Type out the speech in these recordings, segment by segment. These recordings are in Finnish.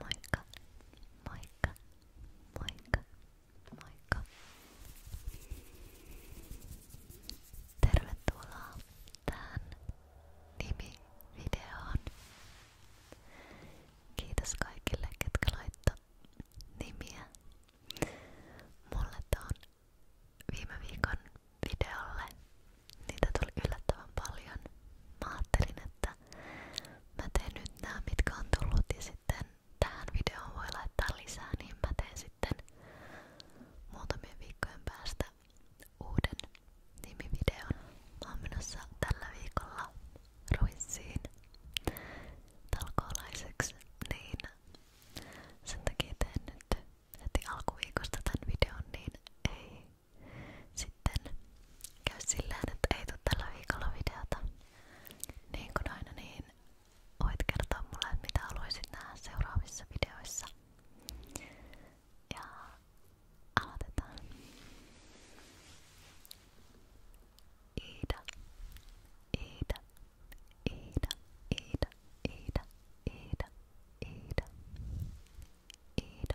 Moikka, moikka, moikka, moikka. Tervetuloa tähän nimivideoon. Kiitos kaikille, ketkä laittoi nimiä. Mulle tuon viime viikon videolle niitä tuli yllättävän paljon. Mä ajattelin, että mä teen nyt nämä, mitkä on tullut ja sitten tähän videoon voi laittaa lisää, niin mä teen sitten muutamien viikkojen päästä uuden nimivideon. Mä oon menossa tällä viikolla Ruissiin talkoolaiseksi, niin sen takia teen nyt heti alkuviikosta tämän videon, niin ei sitten käy silleen, että ei tule tällä viikolla videota. Niin kuin aina, niin voit kertoa mulle, mitä haluaisit nähdä seuraavissa videoissa. Ja aloitetaan. Iida, Iida, Iida, Iida, Iida, Iida, Iida, Iida,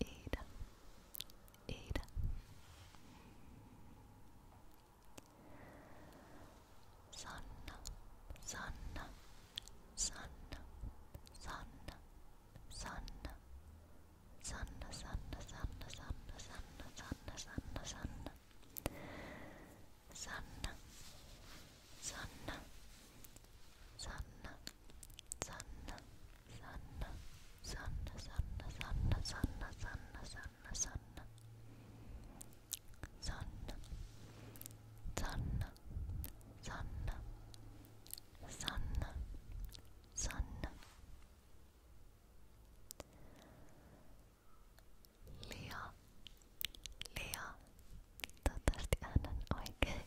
Ida, Ida. Sanna, Sanna, Sanna, Sanna, Sanna, Sanna, Sanna, Sanna, Sanna, Sanna, Sanna, Sanna, Sanna, Sanna, Sanna, Sanna, Sanna, Sanna, Sanna, Sanna, Sanna, Sanna, Sanna, Sanna, Sanna, Sanna, Sanna, Sanna, Sanna, Sanna. Lia, Lia, toivottavasti äänen oikein.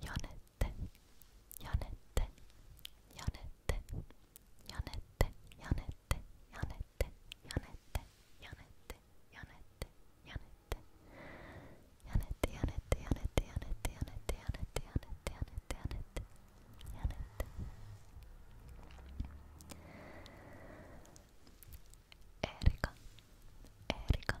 Janette, Janette, Janette, Janette, Janette, Janette, Janette, Janette, Janette, Janette, Janette, Janette, Janette, Janette, Janette, Janette, Janette, Janette, Janette, Janette. Erika, Erika,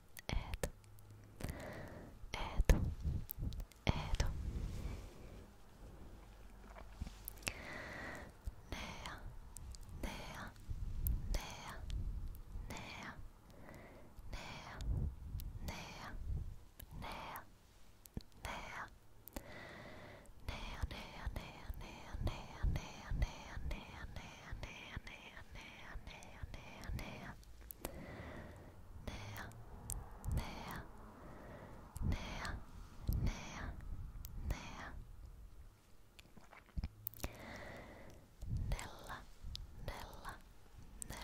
Ed, Ed, Ed. Nea, Nea, Nea, Nea, Nea, Nea, Nea, Nea. Nea, nea, nea, nea, nea. Nella, nella, nella, nella,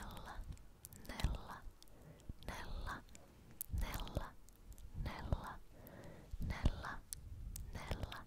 nella, nella, nella, nella, nella.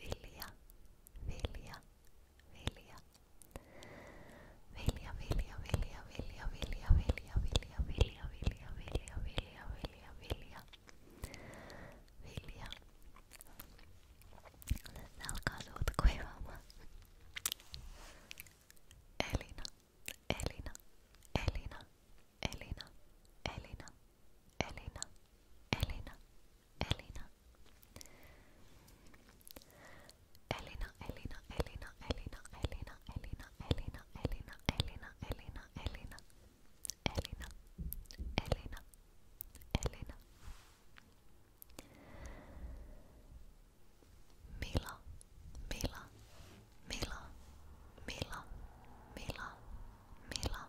vilja, vilja, vilja. Vilja, vilja, vilja, vilja, vilja, vilja, vilja, vilja, vilja, vilja, vilja, vilja, vilja. Vilja. Tässä alkaa suut kuivaamaan. Elina, Elina, Elina, Elina, Elina. Elina, Elina, Elina. Elina, Elina, Elina, Elina, Elina, Elina, Elina, Elina, Elina, Elina, Elina. Elina, Elina, Elina. Mila, Mila, Mila, Mila, Mila, Mila,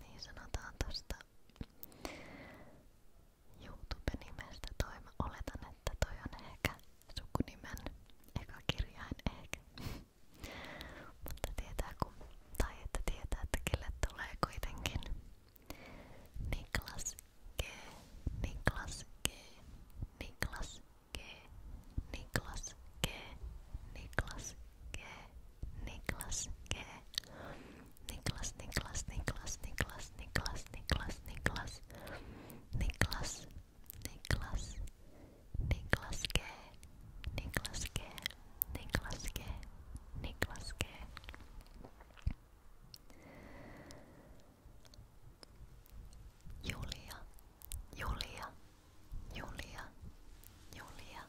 niin sanotaan tosta YouTube-nimestä toi. Mä oletan, että toi on ehkä sukunimen eka kirjain ehkä. Mutta tietää kun, tai että tietää, että kelle tulee kuitenkin Niklas G, Niklas G, Niklas G, Niklas G, Niklas G. G, Niklas G, Niklas, Niklas, Niklas, Niklas, Niklas, Niklas, Niklas, Niklas, Niklas, Niklas G, Niklas G, Niklas G, Niklas G. Julia, Julia, Julia, Julia,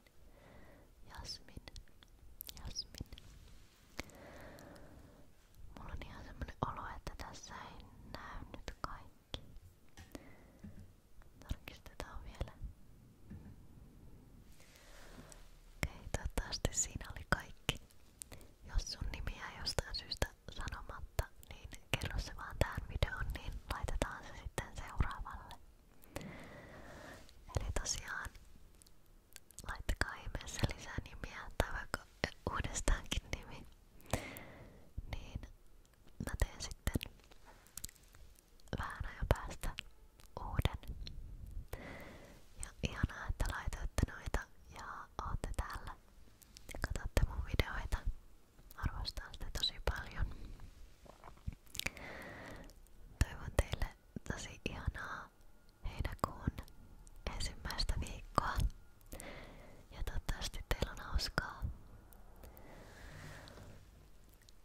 Jasmin, Jasmin, Jasmin. Mulla on ihan semmonen olo, että tässä ei näy nyt kaikki. Tarkistetaan vielä. Okei, okay, toivottavasti siinä oli kaikki. Jos sun nimi jää jostain syystä sanomatta, niin kerro se vaan tähän videoon, niin laitetaan se sitten seuraavalle. Eli tosiaan laittakaa ihmeessä lisää nimiä tai vaikka uudestaankin nimi. Niin mä teen sitten vähän ajan päästä uuden. Ja ihanaa, että laitoitte noita ja ootte täällä ja katsotte mun videoita. Arvostan sitä tosi paljon. Toivon teille tosi ihanaa heinäkuun ensimmäistä viikkoa. Ja toivottavasti teillä on hauskaa.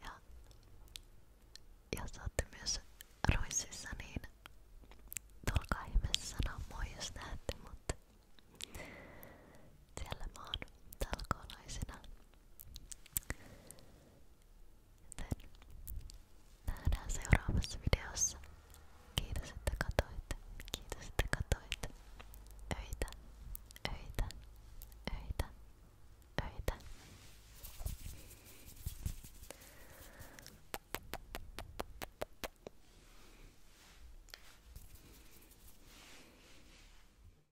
Ja jos olette myös Ruississa, niin tulkaa ihmeessä sanoa moi jos näette mut siellä mä oon talkoolaisena. Joten nähdään seuraavassa videossa. Kiitos, että katoitte. Kiitos, että katoitte. Öitä, öitä, öitä, öitä.